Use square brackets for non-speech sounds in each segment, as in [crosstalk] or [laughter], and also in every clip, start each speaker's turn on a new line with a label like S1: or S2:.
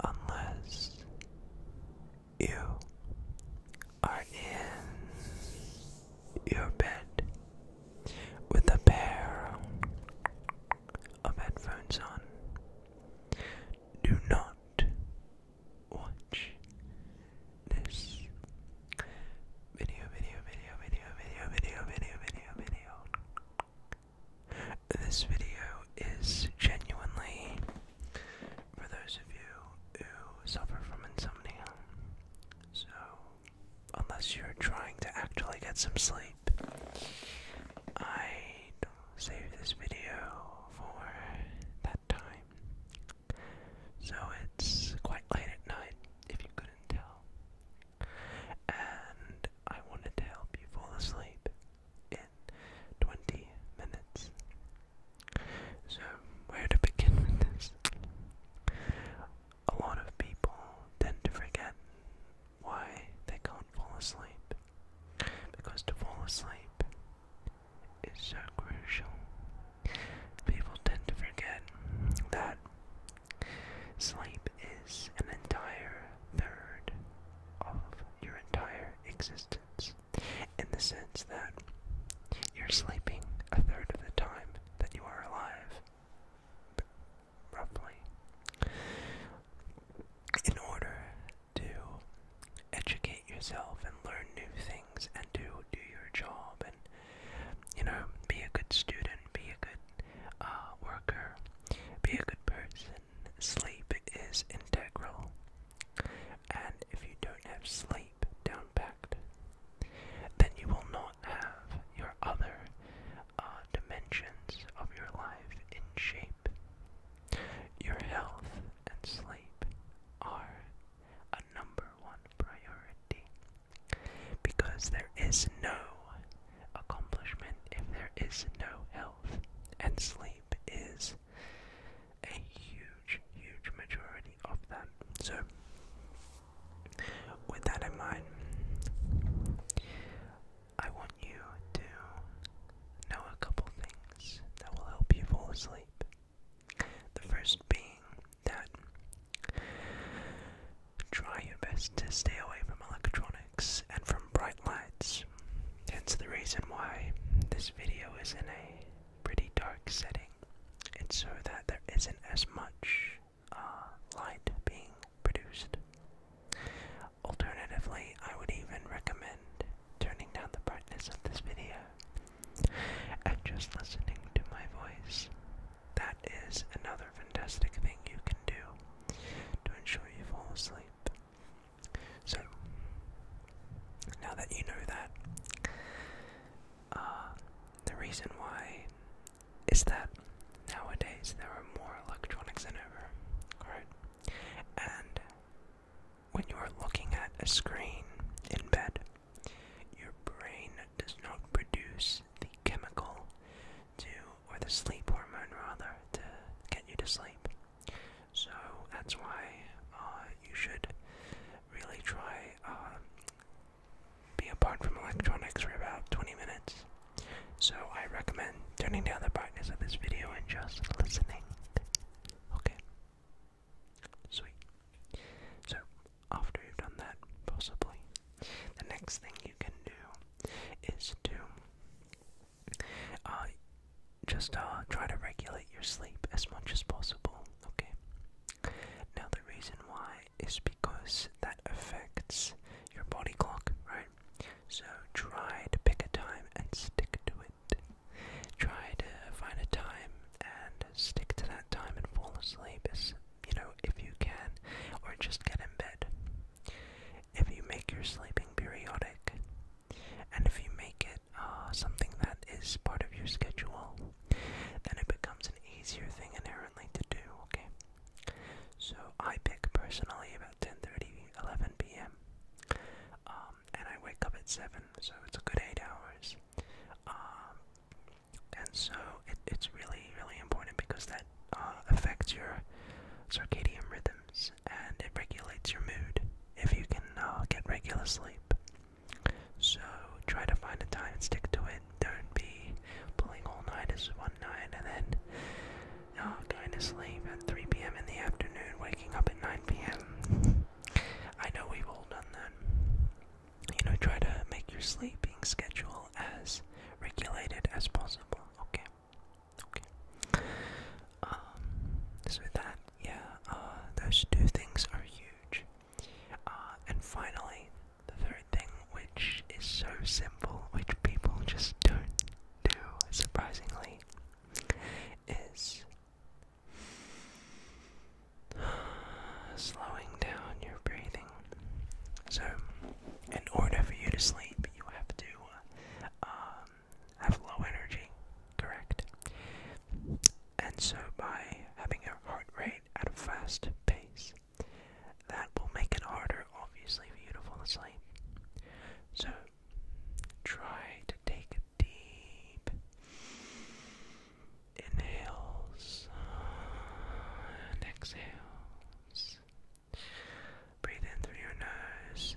S1: Unless you are in your bed with a pair of headphones on, do not watch this video, video. This video is genuinely for those of you who suffer from insomnia. So, unless you're trying to actually get some sleep, I'd save this video for that time. So, it's quite late at night, if you couldn't tell. And I wanted to help you fall asleep in 20 minutes. So, where to begin with this? A lot of people tend to forget why they can't fall asleep. Because to fall asleep is so crucial. People tend to forget that Sleep is an entire third of your entire existence in the sense that you're sleeping a third of the time that you are alive, roughly. In order to educate yourself and learn new things and to do your job and, you know, be a good student, be a good uh, worker. Be a good person. Sleep is integral. And if you don't have sleep down packed, then you will not have your other uh, dimensions of your life in shape. Your health and sleep are a number one priority. Because there is no accomplishment if there is no health, and sleep is a huge, huge majority of that. So, with that in mind, I want you to know a couple things that will help you fall asleep. The first being that try your best to stay away from electronics and from bright lights. Hence the reason why this video is in a pretty dark setting. It's so that there isn't as much uh, light being produced. Alternatively, I would even recommend turning down the brightness of this video and just listening to my voice that is another fantastic thing you can do to ensure you fall asleep. So, now that you know that, uh, the reason why is that nowadays there are more electronics than ever, right? And when you are looking at a screen in bed, your brain does not produce the chemical to, or the sleep hormone rather, to get you to sleep. So that's why uh, you should really try um, be apart from electronics for about 20 minutes. So I recommend turning down the brightness of this video and just listening. Okay. Sweet. So after you've done that, possibly, the next thing you can do is to uh, just uh, try to regulate your sleep as much as possible, okay? Now, the reason why is because that affects your body clock, right? So, try to pick a time and stick to it. Try to find a time and stick to that time and fall asleep you know, if you can, or just get in bed. If you make your sleeping periodic, and if you make it uh, something that is part of your schedule, then it becomes an easier thing inherently to do, okay? So I pick personally about 10:30, 11 p.m. Um, and I wake up at 7, so it's a good 8 hours. Um, and so it's really really important because that uh, affects your circadian rhythms and it regulates your mood if you can uh, get regular sleep so try to find a time and stick to it don't be pulling all night one night and then uh, going to sleep at 3 p.m in the afternoon waking up at 9 p.m i know we've all done that you know, try to make your sleeping schedule as regulated as possible. Okay, okay. Um, so that, yeah, uh, those two things are huge. Uh, and finally, the third thing, which is so simple, which people just don't do, surprisingly, is slowing down your breathing. So, in order for you to sleep, you have to uh, um, have low energy, correct? And so, by having your heart rate at a fast pace, that will make it harder, obviously, for you to fall asleep. So, try to take deep inhales and exhales. Breathe in through your nose.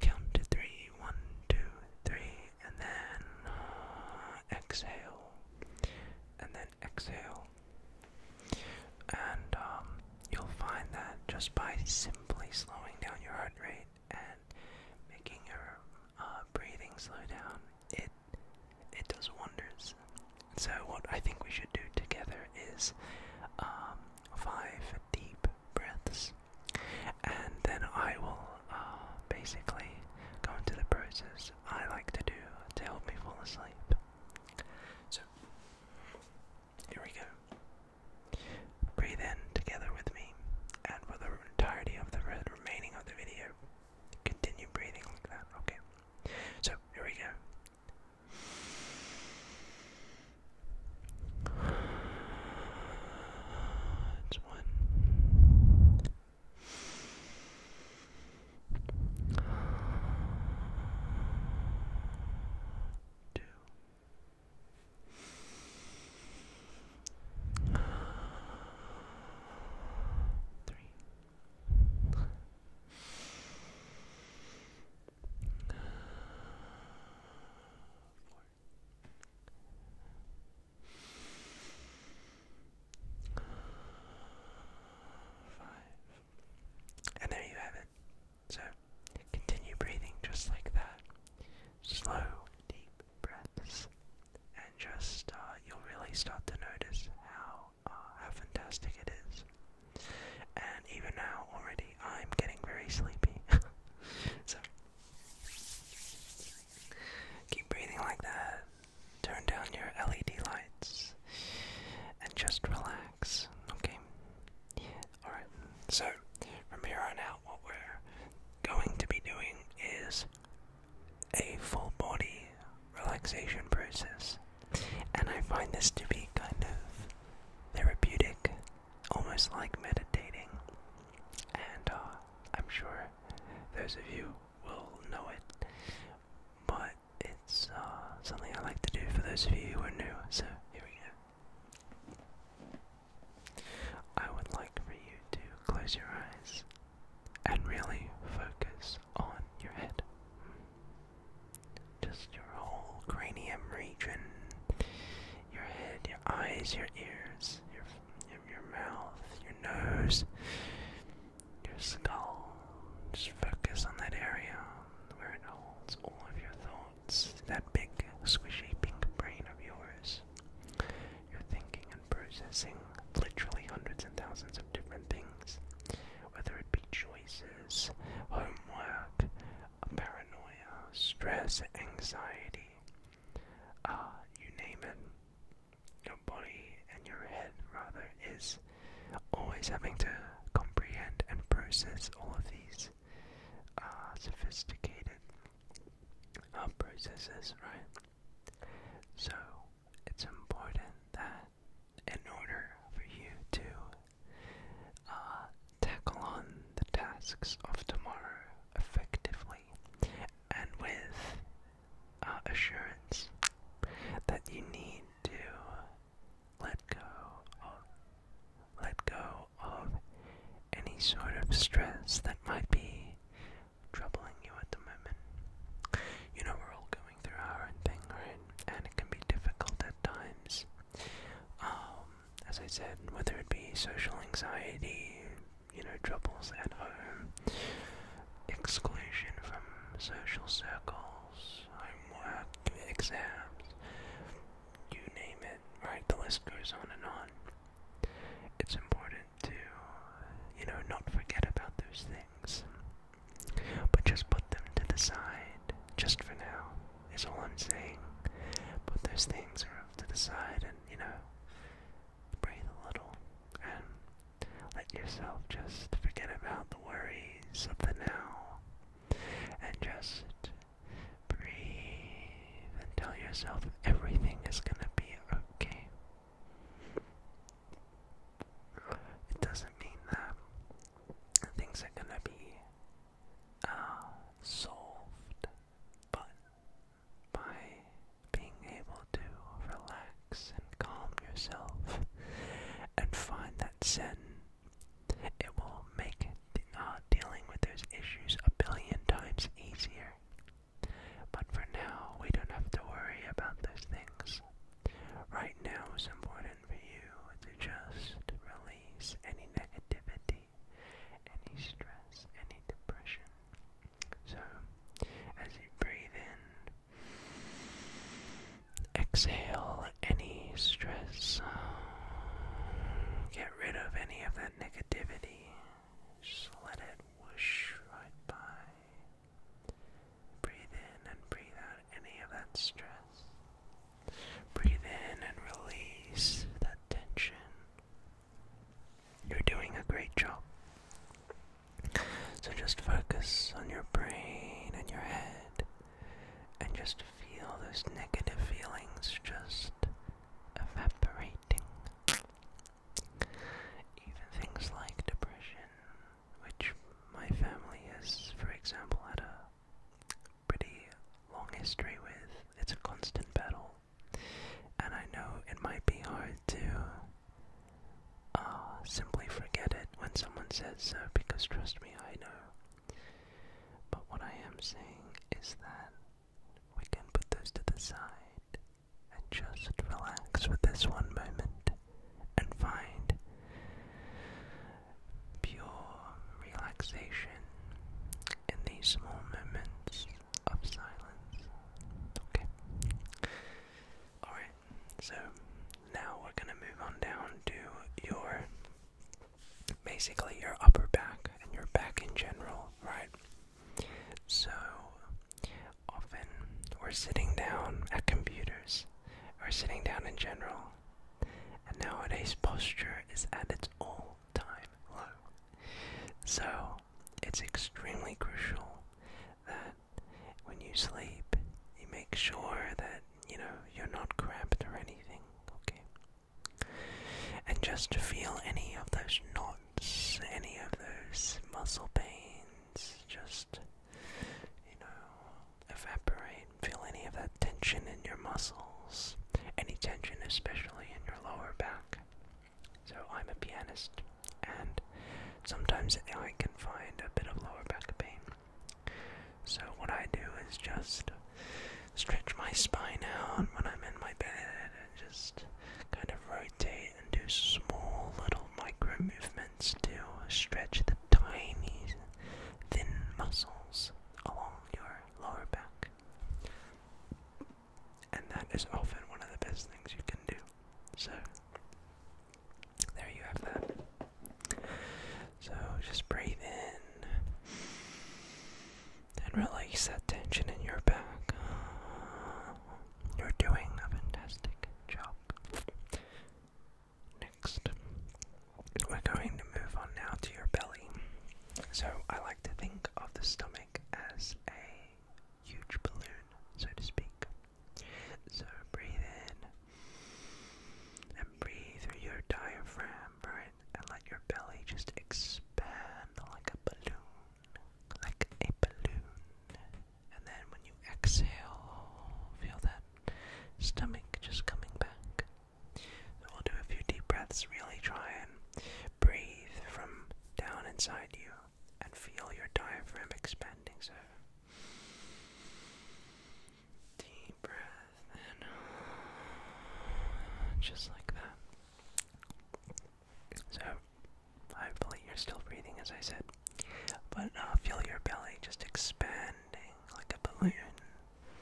S1: Count to three, one, two, three, and then uh, exhale, and then exhale. And um, you'll find that just by simply slowing down your heart rate and making your uh, breathing slow down, it it does wonders. So what I think we should do together is um, five deep breaths, and then I will uh, basically go into the process I like to do to help me fall asleep. So here we go. Breathe in together with me and for the entirety of the remaining of the video, continue breathing like that. Okay. So here we go. one. Two three. And there you have it. So continue breathing just like that. Slow, deep, breaths, and just uh, you'll really start to notice how uh, how fantastic it is. And even now, already, I'm getting very sleepy. [laughs] so keep breathing like that. Turn down your LED lights and just relax. Okay. All right. So from here on out, what we're going to be doing is a full body relaxation process, and I find this to be kind of therapeutic, almost like meditating. And uh, I'm sure those of you will know it, but it's uh, something I like to do for those of you who are new, so here we go. I would like for you to close your eyes and really focus on your head. Just your whole cranium region, your head, your eyes, your ears, your your, mouth, your nose, your skull. Just focus on that area where it holds all of your thoughts. That big squishy pink brain of yours. You're thinking and processing literally hundreds and thousands of different things, whether it be choices, homework, paranoia, stress, anxiety, uh, you name it. Your body and your head, rather, is always having to comprehend and process all of these uh, sophisticated our processes, right? So it's important that in order for you to uh, tackle on the tasks of tomorrow effectively and with uh, assurance that you need to let go let go of any sort of stress that might be troubling you at the moment. You know, we're all going through our own thing, right? And it can be difficult at times. Um, as I said, whether it be social anxiety, you know, troubles at home, exclusion from social circles, homework, exams, you name it, right? The list goes on and on it's important to, you know, not forget about those things. But just put them to the side, just for now, is all I'm saying. Put those things off to the side and, you know, breathe a little and let yourself just forget about the worries of the now and just Breathe and tell yourself everything is going to be okay. It doesn't mean that things are going to be uh, solved, but by being able to relax and calm yourself and find that zen it will make uh, dealing with those issues a billion times easier. But for now, we don't have to worry about those things. Right now, it's important for you to just release any negativity, any stress, any depression. So, as you breathe in, exhale any stress rid of any of that negativity. Just let it whoosh right by. Breathe in and breathe out any of that stress. Breathe in and release that tension. You're doing a great job. So just focus on your brain and your head and just feel those negative feelings just evaporating. Even things like depression, which my family has, for example, had a pretty long history with. It's a constant battle. And I know it might be hard to uh, simply forget it when someone says so, because trust me, I know but what I am saying is that we can put those to the side and just relax with this one moment and find pure relaxation in these small moments of silence. Okay. Alright, so now we're going to move on down to your basically your upper back and your back in general, right? So often we're sitting down at computers or sitting down in general, and nowadays posture is at its all time low. So it's extremely crucial that when you sleep, you make sure that you know you're not cramped or anything, okay? And just to feel any of those knots, any of those muscle pains, just, you know, evaporate. Feel any of that tension in your muscles, any tension, especially in your lower back. So, I'm a pianist, and sometimes I can find a bit of lower back pain. So, what I do is just stretch my spine out when I'm in my bed and just kind of rotate and do small little micro movements to stretch the tiny thin muscles along your lower back. And that is often one of the best things you can do. So, there you have that. So just breathe in and release that tension in your back. You're doing a fantastic job. Next, we're going to move on now to your belly. So, I like to think of the stomach as a huge balloon, so to speak. So, breathe in and breathe through your diaphragm, right? And let your belly just expand like a balloon. Like a balloon. And then when you exhale, feel that stomach just coming back. So we'll do a few deep breaths, really try and breathe from down inside you and feel your diaphragm expanding so Deep breath in, just like that. So, hopefully, you're still breathing as I said, but uh, feel your belly just expanding like a balloon,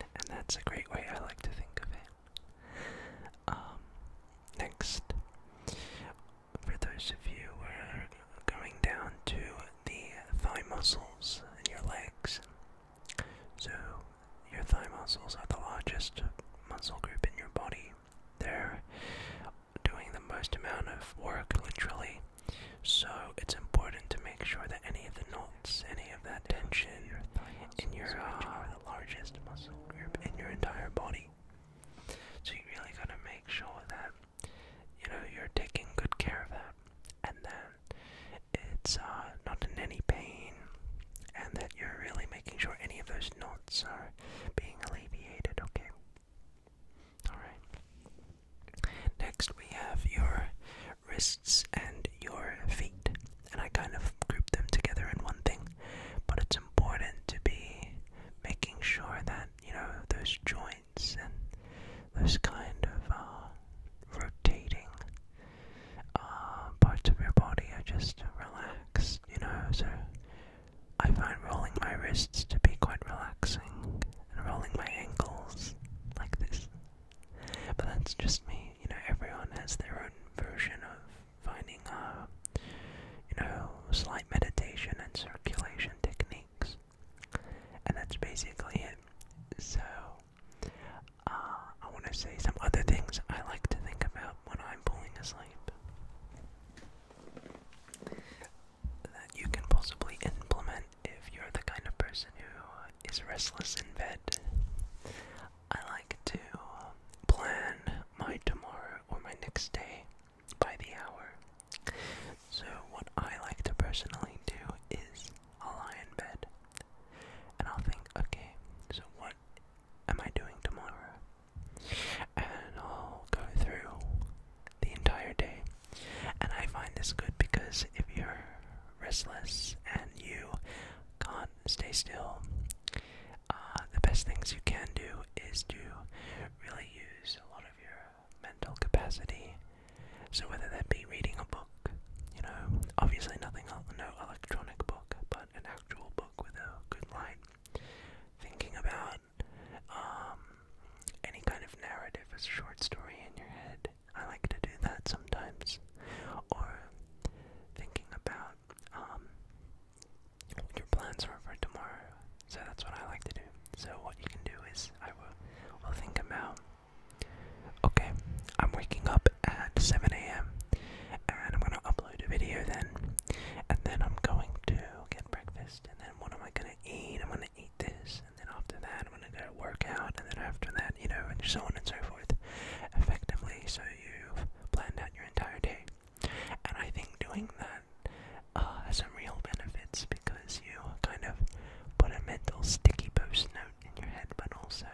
S1: and that's a great way I like to think of it. Um, next, for those of you who are going down to the thigh muscles in your legs. So, your thigh muscles are the largest muscle group in your body. They're doing the most amount of work, literally. So, it's important to make sure that any of the knots, any of that tension in your uh, are the largest muscle group in your entire body. So, you really gotta make sure that you know you're taking good care of that and that it's uh, not in any pain and that you're really making sure any of those knots are being alleviated okay all right next we have your wrists and your feet and i kind of group them together in one thing but it's important to be making sure that you know those joints and those kind of uh, rotating uh, parts of your body are just relaxed, you know. So I find rolling my wrists to be quite relaxing and rolling my ankles like this. But that's just me, you know, everyone has their own version of finding, uh, you know, slight meditation and circulation techniques. And that's basically it. So, uh, I want to say some other things I like to think about when I'm falling asleep that you can possibly implement if you're the kind of person who is restless in bed. I like to plan my tomorrow or my next day by the hour. So, what I like to personally do is lie in bed and I'll think, okay, so what am I doing tomorrow? And I'll go through the entire day. And I find this good because if you're restless and you can't stay still, uh, the best things you can do is to really use a lot of your mental capacity. So whether that be reading a book, you know, obviously nothing, no electronic book, but an actual book with a good line. Thinking about um, any kind of narrative as a short story in your head. I like to do that sometimes. Or thinking about um, your plans are for tomorrow. So that's what I like to do. So what you can do is I will, think about, okay, I'm waking up at 7 a.m. and I'm going to upload a video then. And then I'm going to get breakfast. And then what am I going to eat? I'm going to eat this. And then after that, I'm going to go a workout. And then after that, you know, and so on and so forth. Effectively, so you've planned out your entire day. And I think doing that uh, has some real benefits because you kind of put a mental sticky post note in your head, but also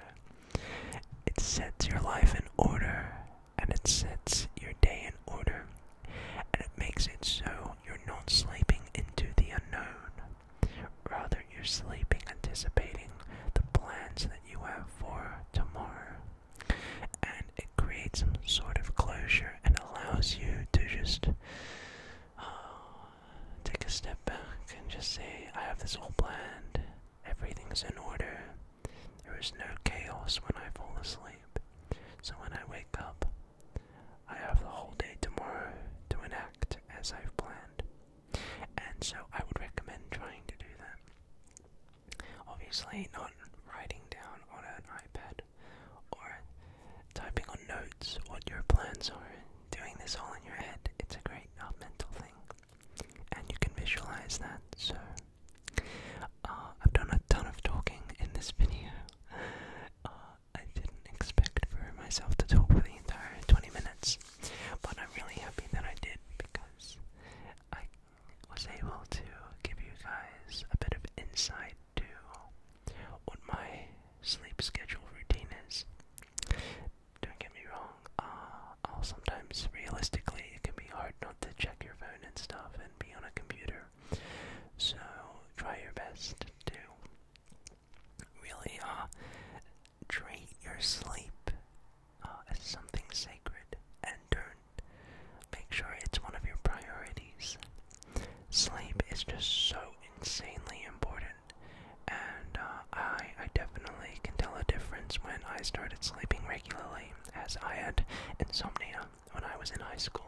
S1: it sets your life in order and it sets your day in order and it makes it so you're not sleeping into the unknown. Rather, you're sleeping anticipating the plans that you have for tomorrow. And it creates some sort of closure and allows you to just uh, take a step back and just say, I have this all planned, everything's in order, there is no chaos when I fall asleep. So when I wake up, I have the whole day tomorrow to enact as I've planned. And so I would recommend trying to do that. Obviously, not writing down on an iPad out or typing on notes what your plans are. Doing this all in your head, it's a great uh, mental thing, and you can visualize that. So, uh, I've done a ton of talking in this video. Uh, I didn't expect for myself to talk for the entire 20 minutes, but I'm really happy that I did because I was able to give you guys a bit of insight too what my sleep schedule routine is. Don't get me wrong, uh, I'll sometimes, realistically, it can be hard not to check your phone and stuff and be on a computer. So, try your best to really uh, treat your sleep uh, as something sacred and turn Make sure it's one of your priorities. Sleep is just so insanely important, and uh, I, I definitely can tell a difference when I started sleeping regularly, as I had insomnia when I was in high school.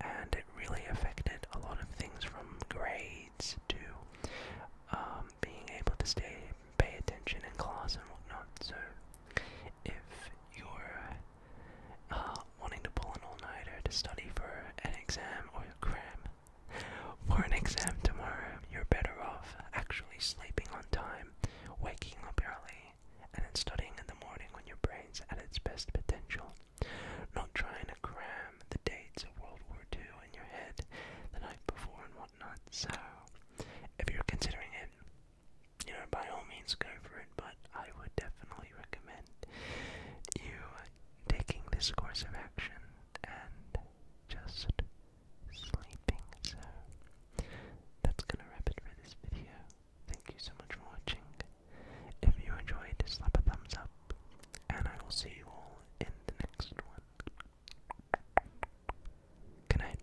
S1: And it really affected a lot of things from grades to um, being able to stay, pay attention in class and whatnot. So, if you're uh, wanting to pull an all-nighter to study for an exam or a cram. For an exam tomorrow, you're better off actually sleeping on time, waking up early, and then studying in the morning when your brain's at its best potential. Not trying to cram the dates of World War II in your head the night before and whatnot. So, if you're considering it, you know, by all means go for it, but I would definitely recommend you taking this course of action and just sleeping. So, that's gonna wrap it for this video. Thank you so much for watching. If you enjoyed, slap a thumbs up, and I will see you all in the next one. Good night.